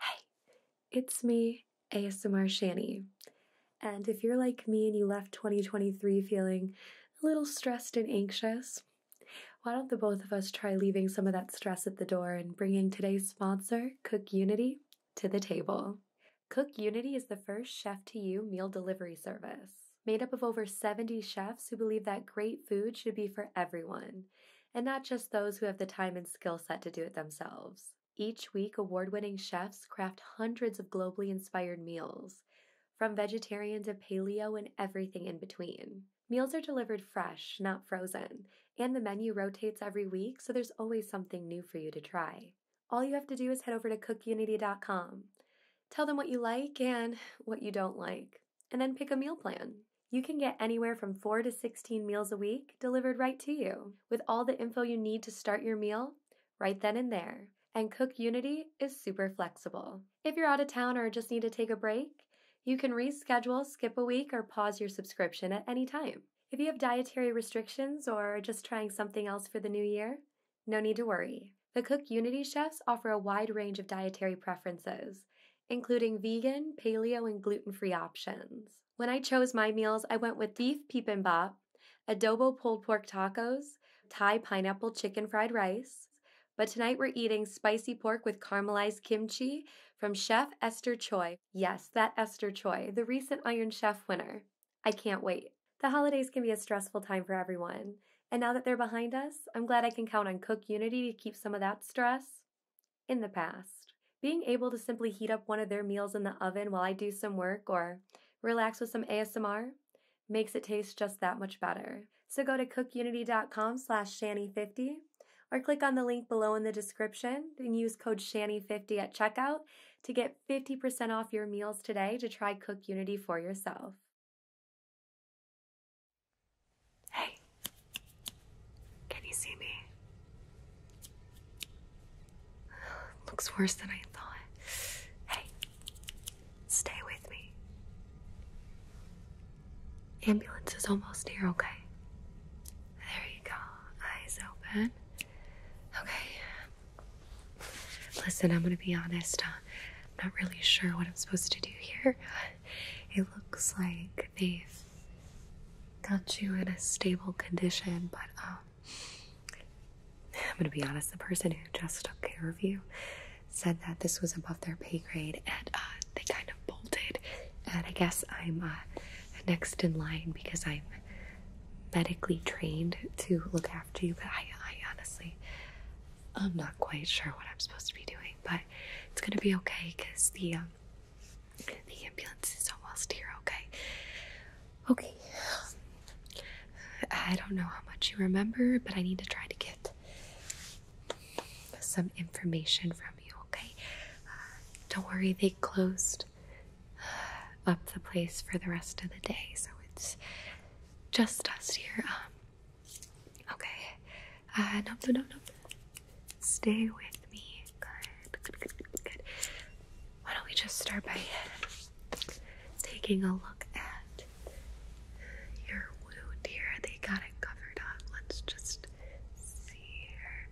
Hey, it's me, ASMR Shani. And if you're like me and you left 2023 feeling a little stressed and anxious, why don't the both of us try leaving some of that stress at the door and bringing today's sponsor, Cook Unity, to the table? Cook Unity is the first chef to you meal delivery service made up of over 70 chefs who believe that great food should be for everyone and not just those who have the time and skill set to do it themselves. Each week, award winning chefs craft hundreds of globally inspired meals, from vegetarian to paleo and everything in between. Meals are delivered fresh, not frozen, and the menu rotates every week, so there's always something new for you to try. All you have to do is head over to cookunity.com. Tell them what you like and what you don't like, and then pick a meal plan you can get anywhere from 4 to 16 meals a week delivered right to you with all the info you need to start your meal right then and there. And Cook Unity is super flexible. If you're out of town or just need to take a break, you can reschedule, skip a week, or pause your subscription at any time. If you have dietary restrictions or are just trying something else for the new year, no need to worry. The Cook Unity chefs offer a wide range of dietary preferences, including vegan, paleo, and gluten free options. When I chose my meals, I went with beef bibimbap, adobo pulled pork tacos, Thai pineapple chicken fried rice. But tonight we're eating spicy pork with caramelized kimchi from Chef Esther Choi. Yes, that Esther Choi, the recent Iron Chef winner. I can't wait. The holidays can be a stressful time for everyone. And now that they're behind us, I'm glad I can count on Cook Unity to keep some of that stress in the past. Being able to simply heat up one of their meals in the oven while I do some work or relax with some ASMR makes it taste just that much better. So go to cookunity.com slash shanny50 or click on the link below in the description and use code shanny50 at checkout to get 50% off your meals today to try Cook Unity for yourself. Hey, can you see me? Looks worse than I thought. Hey, stay with me. Ambulance is almost here, okay? There you go. Eyes open. Okay. Listen, I'm gonna be honest. Uh, I'm not really sure what I'm supposed to do here. It looks like they've got you in a stable condition, but um, I'm gonna be honest, the person who just took care of you said that this was above their pay grade and uh, they kind of bolted. And I guess I'm uh, next in line because I'm medically trained to look after you, but I, honestly, I'm not quite sure what I'm supposed to be doing, but it's gonna be okay because the um, the ambulance is almost here, okay? Okay. I don't know how much you remember, but I need to try to get some information from you, okay? Uh, don't worry, they closed uh, up the place for the rest of the day, so it's just us here. Um, okay. Uh, nope, nope, nope, Stay with me. Good, Why don't we just start by taking a look at your wound here? They got it covered up. Let's just see here.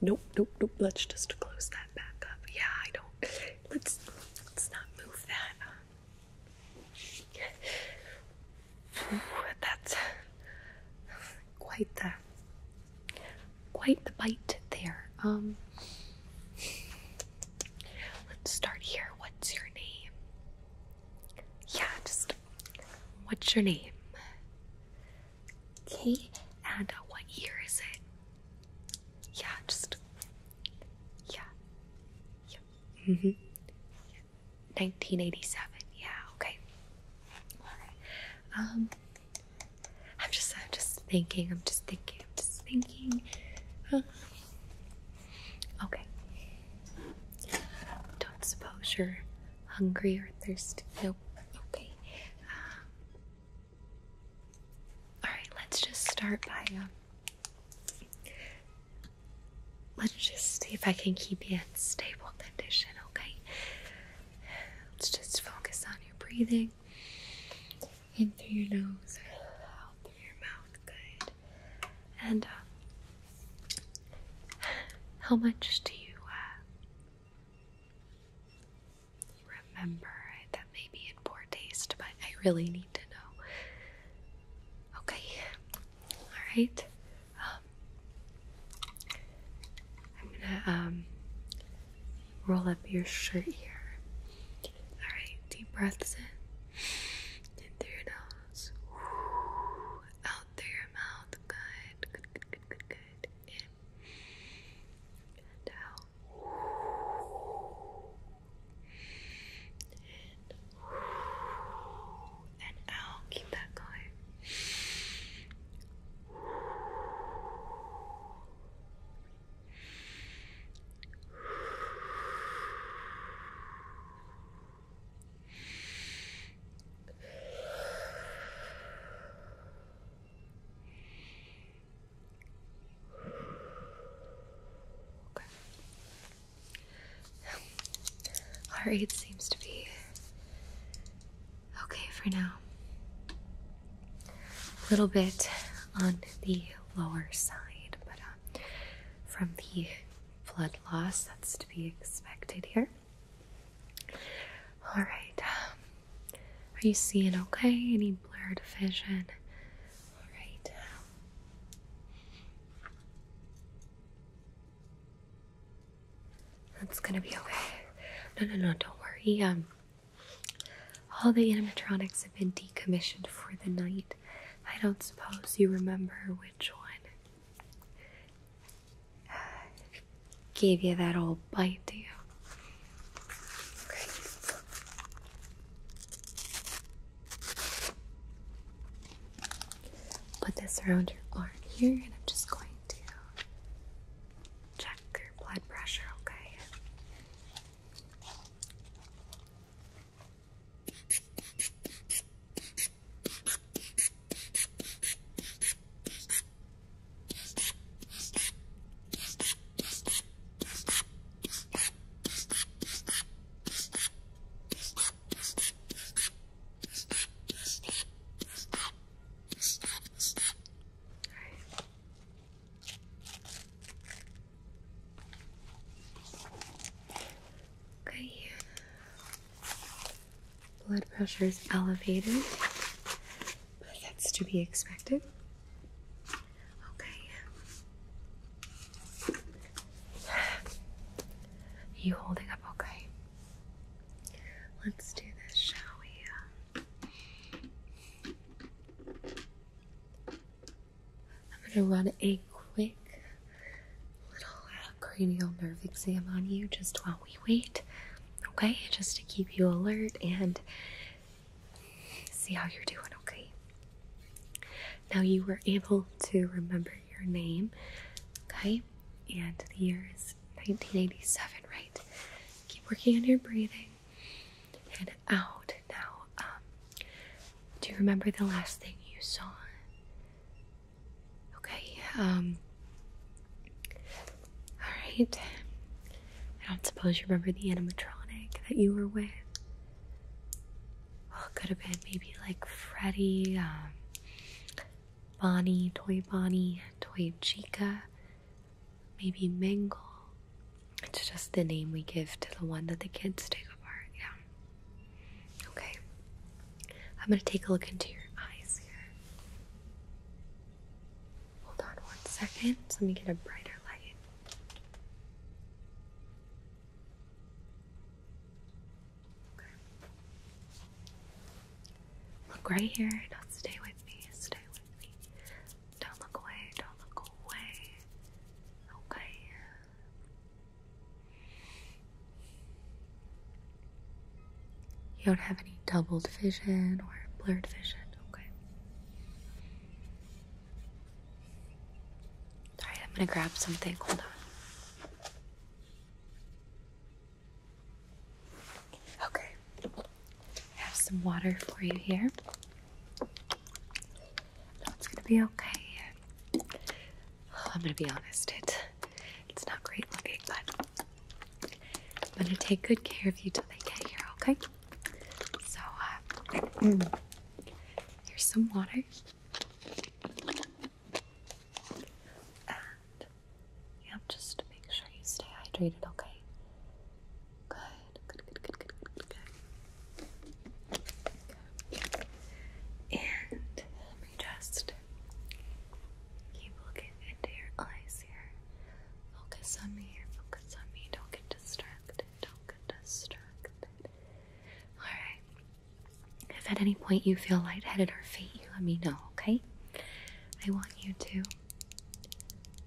Nope, nope, nope. Let's just close that back up. Yeah, I don't. Let's let's not move that. That's quite the quite the bite there. Um, let's start here. What's your name? Yeah, just what's your name? Okay, and what year is it? Yeah, just yeah, yeah. Mm-hmm. 1987. Yeah. Okay. Um. I'm just. I'm just thinking. I'm just thinking. I'm just thinking. Uh-huh. Okay. Don't suppose you're hungry or thirsty. Nope. Okay. Um, all right. Let's just start by um, Let's just see if I can keep you in stable condition, okay? Let's just focus on your breathing in through your nose, out through your mouth, good. And uh, how much do you uh, remember? That may be in poor taste, but I really need to know. Okay, all right. Um, I'm gonna um, roll up your shirt here. All right. Deep breaths in, in through your nose, out through your mouth. Good. Good. Good. Good. Good. In and out. And and out. Keep that going. Okay. Our aid seems to be okay for now. A little bit on the lower side, but uh, from the blood loss that's to be expected here. All right. Um, are you seeing okay? Any blurred vision? All right. That's gonna be okay. No, no, no, don't worry. Um, all the animatronics have been decommissioned for the night. I don't suppose you remember which one uh, gave you that old bite, do you? Put this around your arm here, and I'm just going to check your blood pressure, okay? Okay. Blood pressure is elevated, but that's to be expected. Okay. you holding up okay? Let's do this, shall we? I'm gonna run a quick little uh, cranial nerve exam on you just while we wait, okay? Just to keep you alert and see how you're doing, okay? Now, you were able to remember your name, okay? And the year is 1987, right? Keep working on your breathing. And out now. Um, do you remember the last thing you saw? Okay. Um, all right. I don't suppose you remember the animatronic that you were with well, oh, it could have been maybe like Freddy, um, Bonnie, Toy Bonnie, Toy Chica, maybe Mangle. It's just the name we give to the one that the kids take apart, yeah. Okay. I'm gonna take a look into your eyes here. Hold on one second. Let me get a brighter light. Look right here. Don't stay with me. Stay with me. Don't look away. Don't look away. Okay. You don't have any doubled vision or blurred vision, okay? Alright, I'm gonna grab something. Hold on. Okay. I have some water for you here. it's gonna be okay. I'm gonna be honest, it it's not great looking, but I'm gonna take good care of you till they get here, okay? So uh, here's some water yeah, just to make sure you stay hydrated, okay? Good, good, good, good, good, good, good. good. And let me just keep looking into your eyes here. Focus on me here, focus on me. Don't get distracted, don't get distracted. Alright, if at any point you feel lightheaded or faint, you let me know, okay? I want you to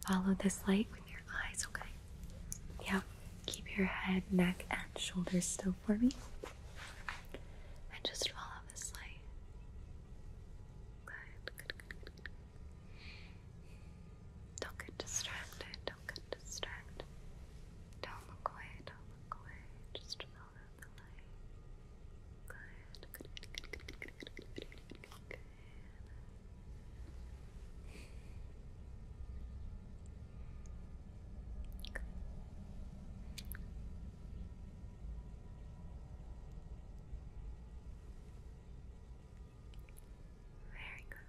follow this light with your eyes, okay? Yeah, keep your head, neck, and shoulders still for me. And just follow this light. good. Don't get distracted, don't get distracted. Don't look away. Don't look away. Just follow the light. Good. Very good.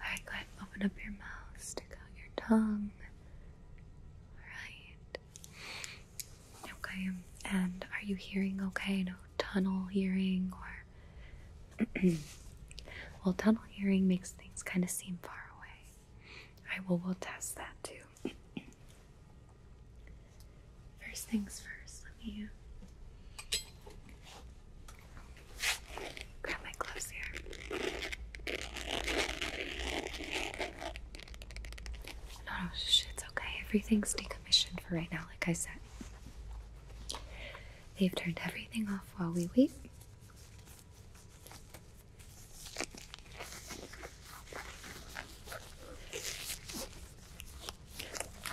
Alright, open up your mouth, stick out your tongue. Alright. Okay, um, and are you hearing okay? No tunnel hearing or. well, tunnel hearing makes things kind of seem far away. I will test that too. First things first, let me grab my gloves here. No, no, shh, it's okay. Everything's decommissioned for right now, like I said. They've turned everything off while we wait.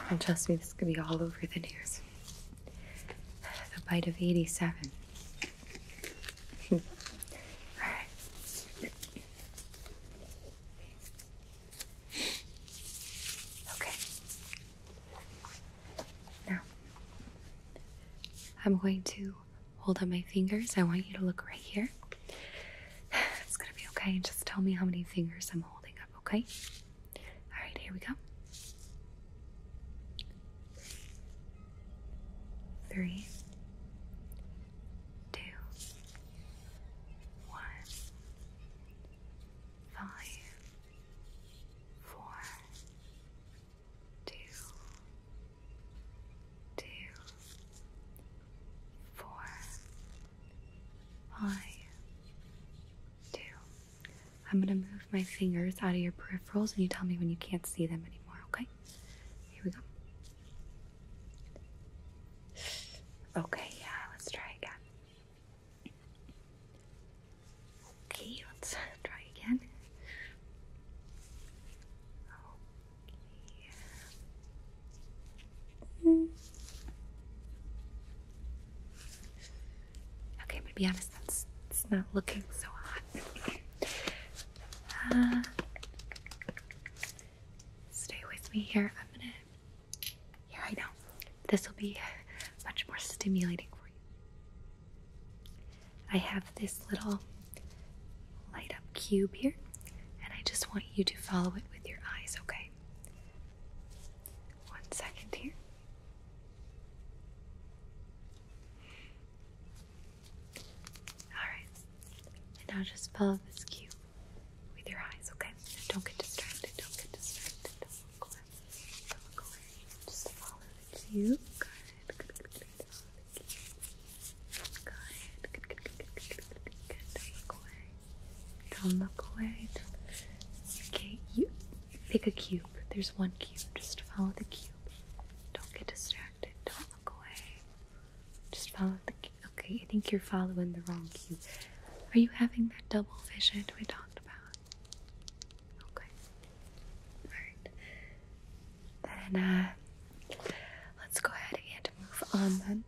And trust me, this could be all over the news. The bite of 87. all right. Okay. Now, I'm going to hold up my fingers. I want you to look right here. It's gonna be okay. And Just tell me how many fingers I'm holding up, okay? Alright, here we go. Three, two, one, five, four, two, two, four. I do. I'm gonna move my fingers out of your peripherals and you tell me when you can't see them anymore, okay? Here we go. Okay, yeah, let's try again. Okay, let's try again. Mm. Okay, I'm gonna be honest, it's not looking so hot. Uh, stay with me here. I'm gonna. Yeah, I know. This will be much more stimulating for you. I have this little light up cube here and I just want you to follow it with your eyes, okay? One second here. Alright, and now just follow this cube with your eyes, okay? don't get distracted, don't get distracted, don't look away, don't look away. Just follow the cube. Good, good, Good, good, Don't look away. Don't look away. Okay, you pick a cube. There's one cube. Just follow the cube. Don't get distracted. Don't look away. Just follow the cube. Okay, I think you're following the wrong cube. Are you having that double vision we talked about? Okay. Alright. Then, uh, let's go ahead and move on then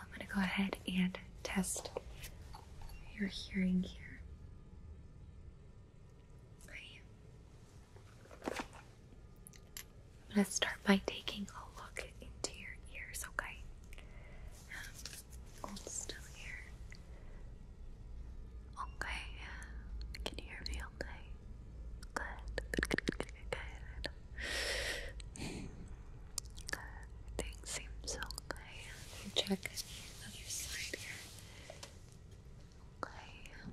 I'm going to go ahead and test your hearing here. I'm going to start by taking a look into your ears, okay? Um, still here. Okay, can you hear me okay? Good, good. Everything seems okay. Check the other side here. Okay.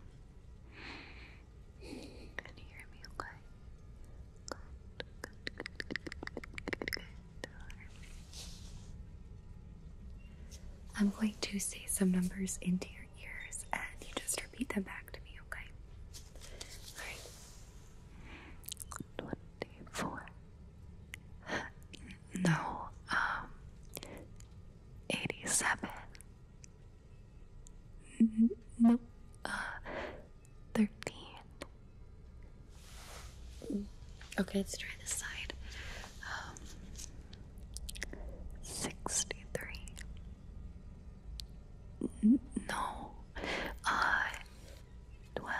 Can hear me okay? I'm going to say some numbers into your ears and you just repeat them back to me, okay? Alright. One, two, four. No, um, 87. No, uh, 13. Okay, let's try this side. Um, 63. No. I. Twelve.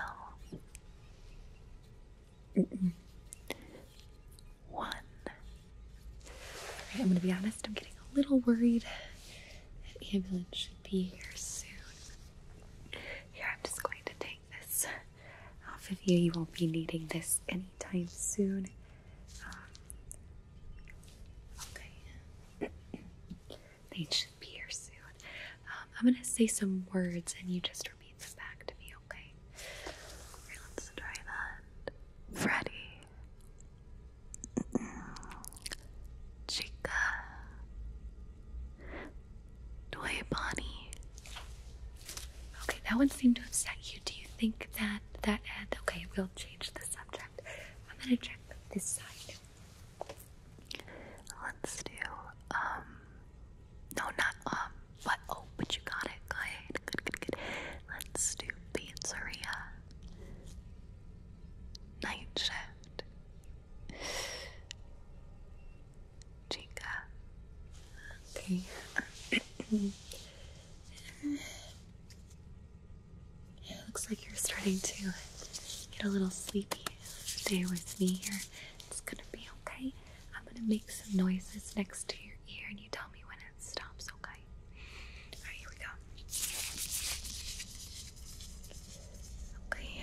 I'm gonna be honest, I'm getting a little worried. that ambulance should be here soon. Here, I'm just going to take this off of you. You won't be needing this anytime soon. Um, Okay. they should be here soon. Um, I'm going to say some words and you just repeat them back to me, okay? let's try that. Freddy. Chica. Toy Okay, that one seemed to upset you. Do you think that that ad? Okay, we'll I'm gonna check this side. Let's do um, no not um but oh but you got it. Good good good good. Let's do pizzeria. Night shift. Chica. Okay. It looks like you're starting to get a little sleepy. Stay with me here. It's gonna be okay. I'm gonna make some noises next to your ear and you tell me when it stops, okay? Alright, here we go. Okay.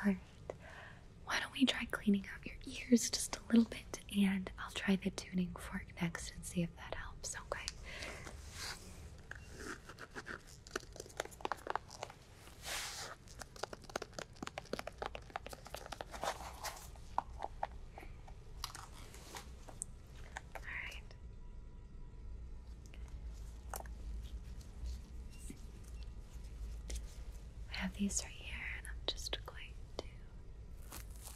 Alright. Why don't we try cleaning out your ears just a little bit and I'll try the tuning fork next and see if that helps, okay? Alright. I have these right here, and I'm just going to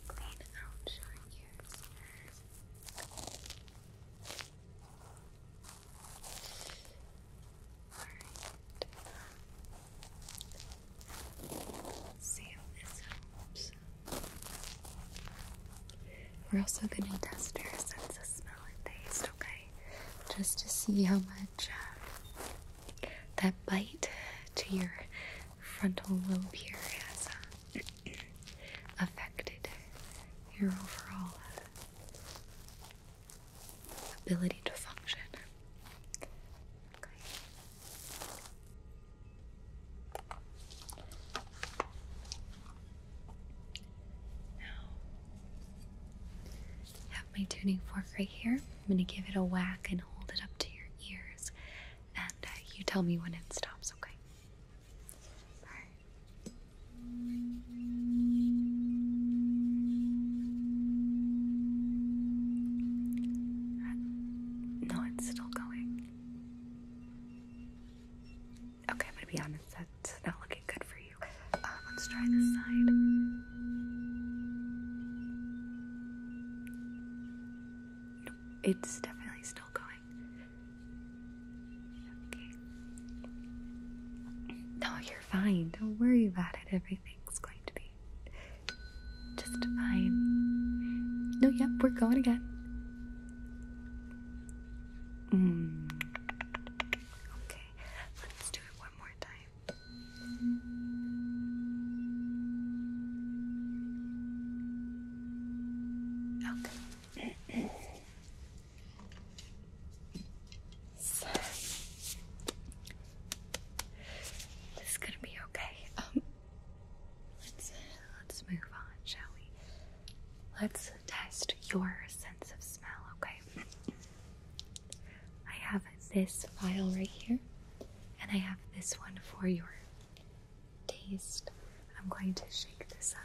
clean out your ears. We're also going to test your sense of smell and taste, okay? Just to see how much uh, that bite to your frontal lobe here has uh, affected your overall uh, ability to function. Now, I have my tuning fork right here. I'm going to give it a whack and hold it up to your ears, and uh, you tell me when it stops, okay? No, it's still going. Okay, I'm gonna be honest, that's not looking good for you. Uh, let's try this side. No, it's definitely still going. Okay. No, you're fine. Don't worry about it. Everything's going to be just fine. No, yep, we're going again. Mm. Okay, let's do it one more time. Okay this is gonna be okay. Um, let's let's move on, shall we? Let's test your sense of smell, okay? I have this vial right here, and I have this one for your taste. I'm going to shake this up.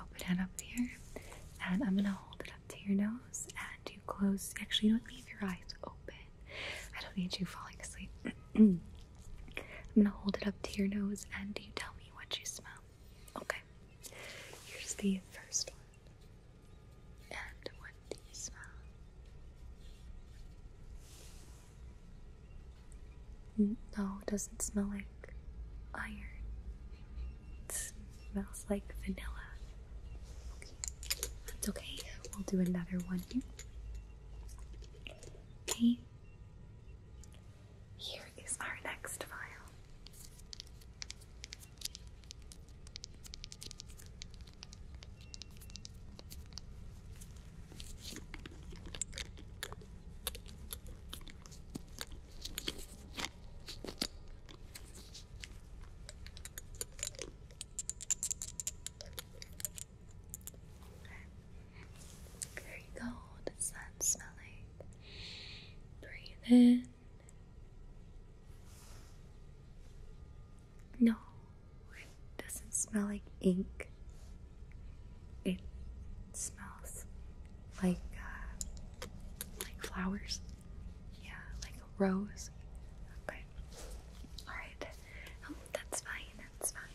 Open it up here, and I'm gonna hold it up to your nose, and you close. Actually, you don't leave your eyes open. I don't need you falling asleep. I'm gonna hold it up to your nose, and you tell me what you smell. Okay. Here's the first one. And what do you smell? No, it doesn't smell like iron. It smells like vanilla. Okay, We'll do another one Okay. Here is our next file. Okay. you go. Does that smell like? Breathe in. No, it doesn't smell like ink. It smells like uh, like flowers. Yeah, like a rose. Okay. All right. Oh, that's fine. That's fine.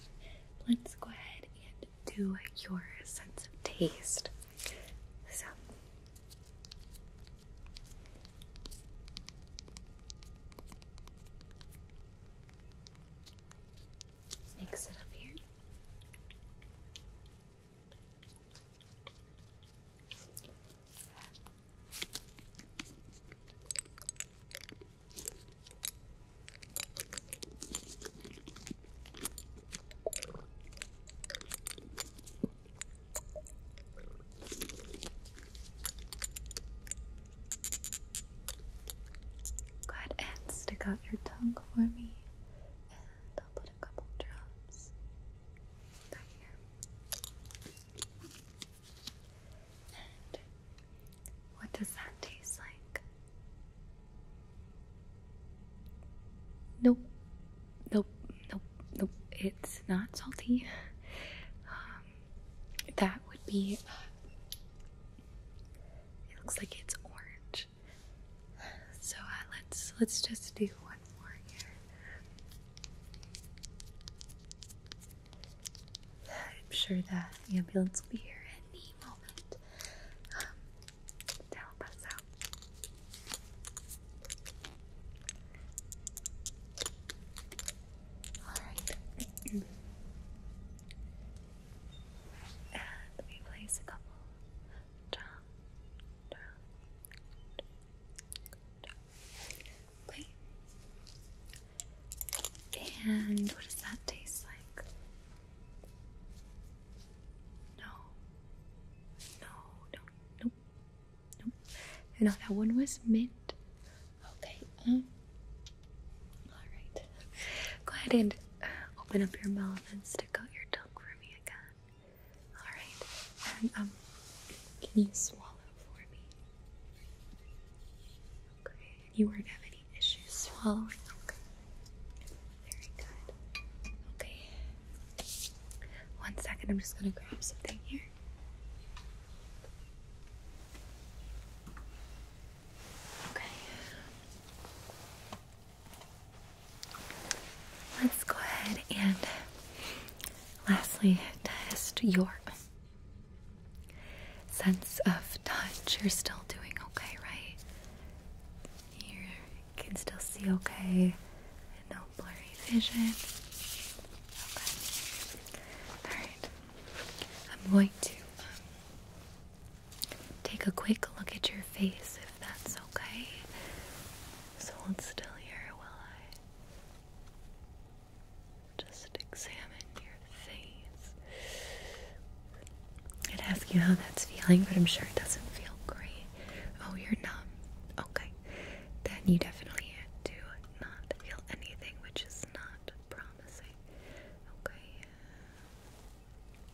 Let's go ahead and do your sense of taste. So mix it up here. Go ahead and stick out your tongue for me. I'll put a couple drops right here. what does that taste like? Nope, nope, nope, nope. It's not salty. Um, that would be. it looks like it's orange. So uh, let's let's just do one more here. I'm sure the ambulance will be here any moment um, help us out. All right. and we place a couple Okay. And what does that taste like? No. No, no, no, no. And no, that one was mint. Okay. Um. All right. Go ahead and open up your mouth and stick out your tongue for me again. Alright, and um, can you swallow for me? Okay, you won't have any issues swallowing, okay? Very good. Okay, one second, I'm just gonna grab something here. Okay. Let's go ahead and lastly test your sense of touch. You're still doing okay, right? You can still see okay, no blurry vision. Okay. All right. I'm going to um, take a quick look at your face if that's okay. So i hold still here while I just examine your face. I'd ask you how that's feeling, but I'm sure it doesn't feel great. Oh, you're numb. Okay. Then you definitely do not feel anything, which is not promising. Okay.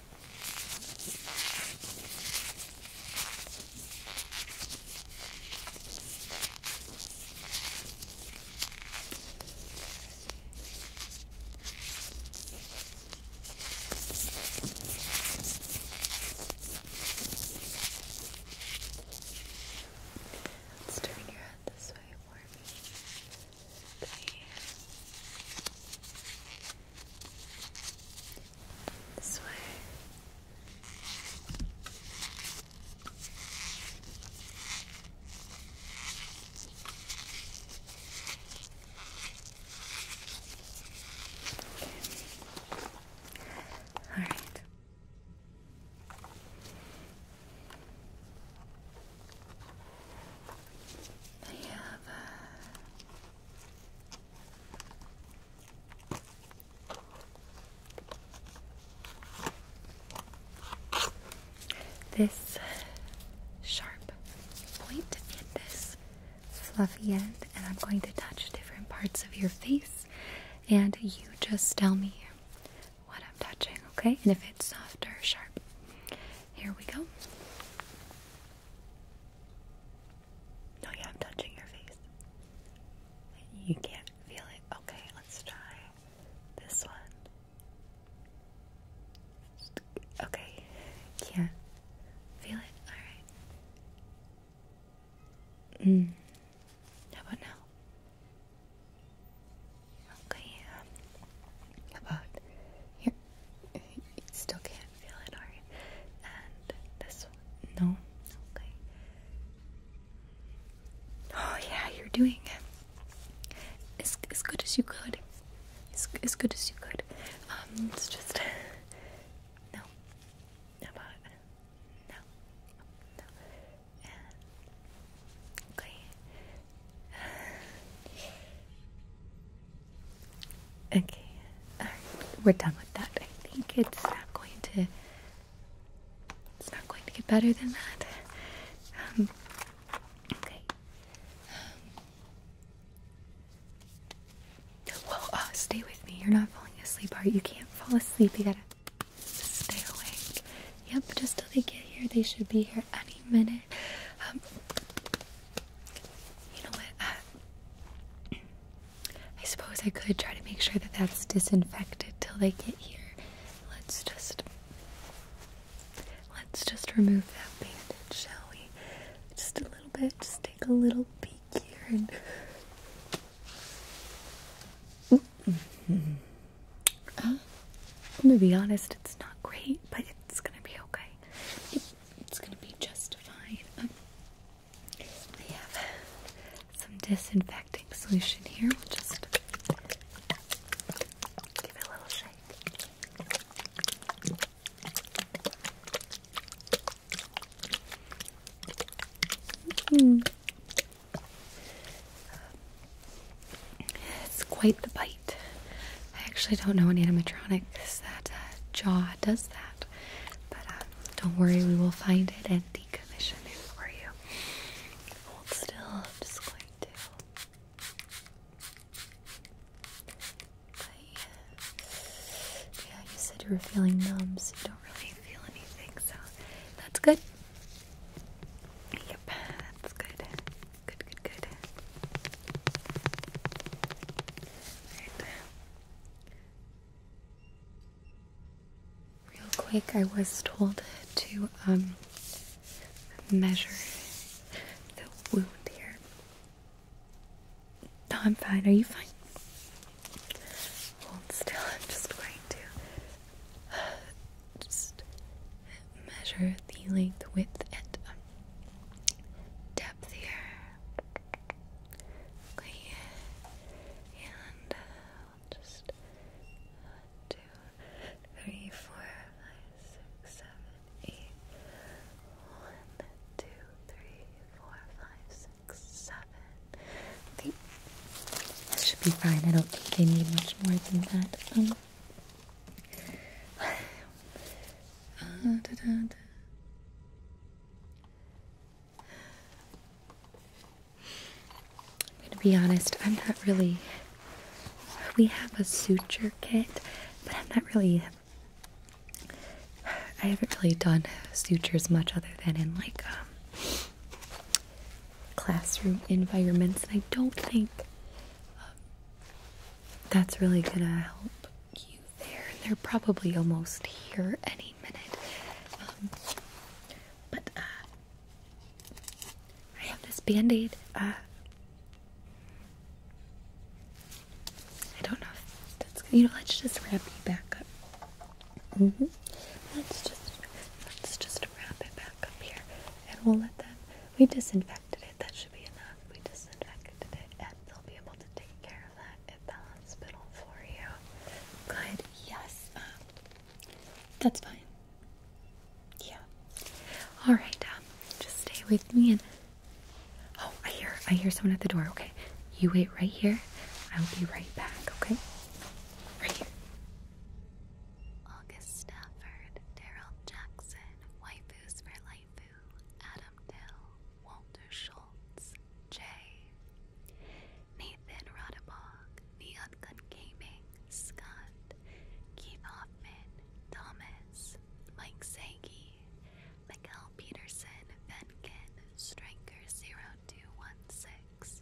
Let's turn your head this way for me. Please. This way. Okay. All right. I have uh, this sharp point and this fluffy end, and I'm going to touch different parts of your face, and you just tell me what I'm touching, okay? And if it's soft or sharp. Here we go. No, yeah, I'm touching your face. You can't feel it. Okay, let's try this one. Okay, can't feel it. Alright. Mm. How about now? Okay, about your you still can't feel it, are And this one, no, okay. Oh yeah, you're doing it as as good as you could, as as good as you could. Um, it's just no, no about no, no, okay. Okay, all right, we're done with that. I think it's not going to. It's not going to get better than that. Um, okay. Um, well, uh, stay with me. You're not falling asleep, are you? can't fall asleep. You gotta stay awake. Yep, just till they get here. They should be here any minute. Um, you know what? Uh, I suppose I could try to make sure that that's disinfected till they get here. Let's just let's just remove that bandage, shall we? Just a little bit. Just take a little peek here and. Mm -hmm. uh, I'm gonna be honest, it's not great, but it's gonna be okay. It it's going to be justified. Um, I have some disinfecting solution here. We'll just give it a little shake. Hmm. It's quite the bite. I actually don't know any animatronics that uh, jaw does that, but um, don't worry, we will find it and decommission it for you. still, just going to. yeah. yeah, you said you were feeling numb, so you don't really feel anything, so that's good. Yep, that's good. Good, good, good. Right. Real quick, I was told to um, measure the wound here. No, I'm fine. Are you fine? Hold still. I'm just going to uh, just measure the length, width, and um, depth and uh, just one, two, three, four, five, six, seven, eight. One, two, That should be fine. I don't think I need much more than that. Um, I'm gonna be honest, I'm not really. We have a suture kit, but I'm not really. I haven't really done sutures much other than in like um, classroom environments, and I don't think um, that's really gonna help you there. They're probably almost here any minute. Um, but uh, I have this band aid. Uh, I don't know you know. Let's just wrap you back up. Mm-hmm. Let's just let's just wrap it back up here, and we'll let them. We disinfect disinfected That should be enough. We disinfected it and they'll be able to take care of that at the hospital for you. Good. Yes. Um, that's fine. Yeah. All right. Um, just stay with me and. Oh, I hear. I hear someone at the door. Okay. You wait right here. I'll be right back. Okay. Right here. August Stafford, Daryl Jackson, waifus for life Adam Dill, Walter Schultz, Jay, Nathan Radabog, Neotgun Gaming, Scott, Keith Hoffman, Thomas, Mike Sagi, Michael Peterson, Venkin, Stranker0216,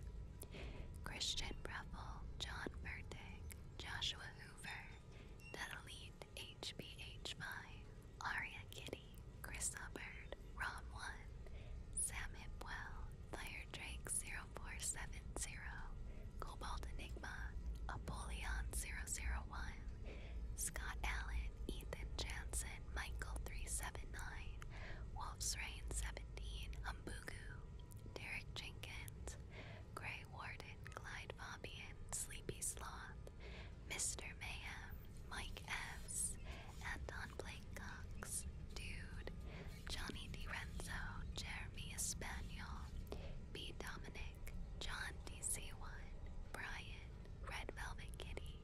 Christian Breffel, John Vertig, Joshua Hoover, Natalie hbh Aria Kitty, Chris Hubbard, Ron1, Sam Hipwell, Fire Drake 0470, Cobalt Enigma, Apollyon 001, Scott Allen, Ethan Jansen, Michael 379, Wolf's Rain 17, Humbugu, Derek Jenkins, Greg Warden, Clyde Bobbian, Sleepy Sloth, Mr. Mayhem, Mike S., Don Blake Cox, Dude, Johnny DiRenzo, Jeremy Espaniel, B. Dominic, John DC1, Brian, Red Velvet Kitty.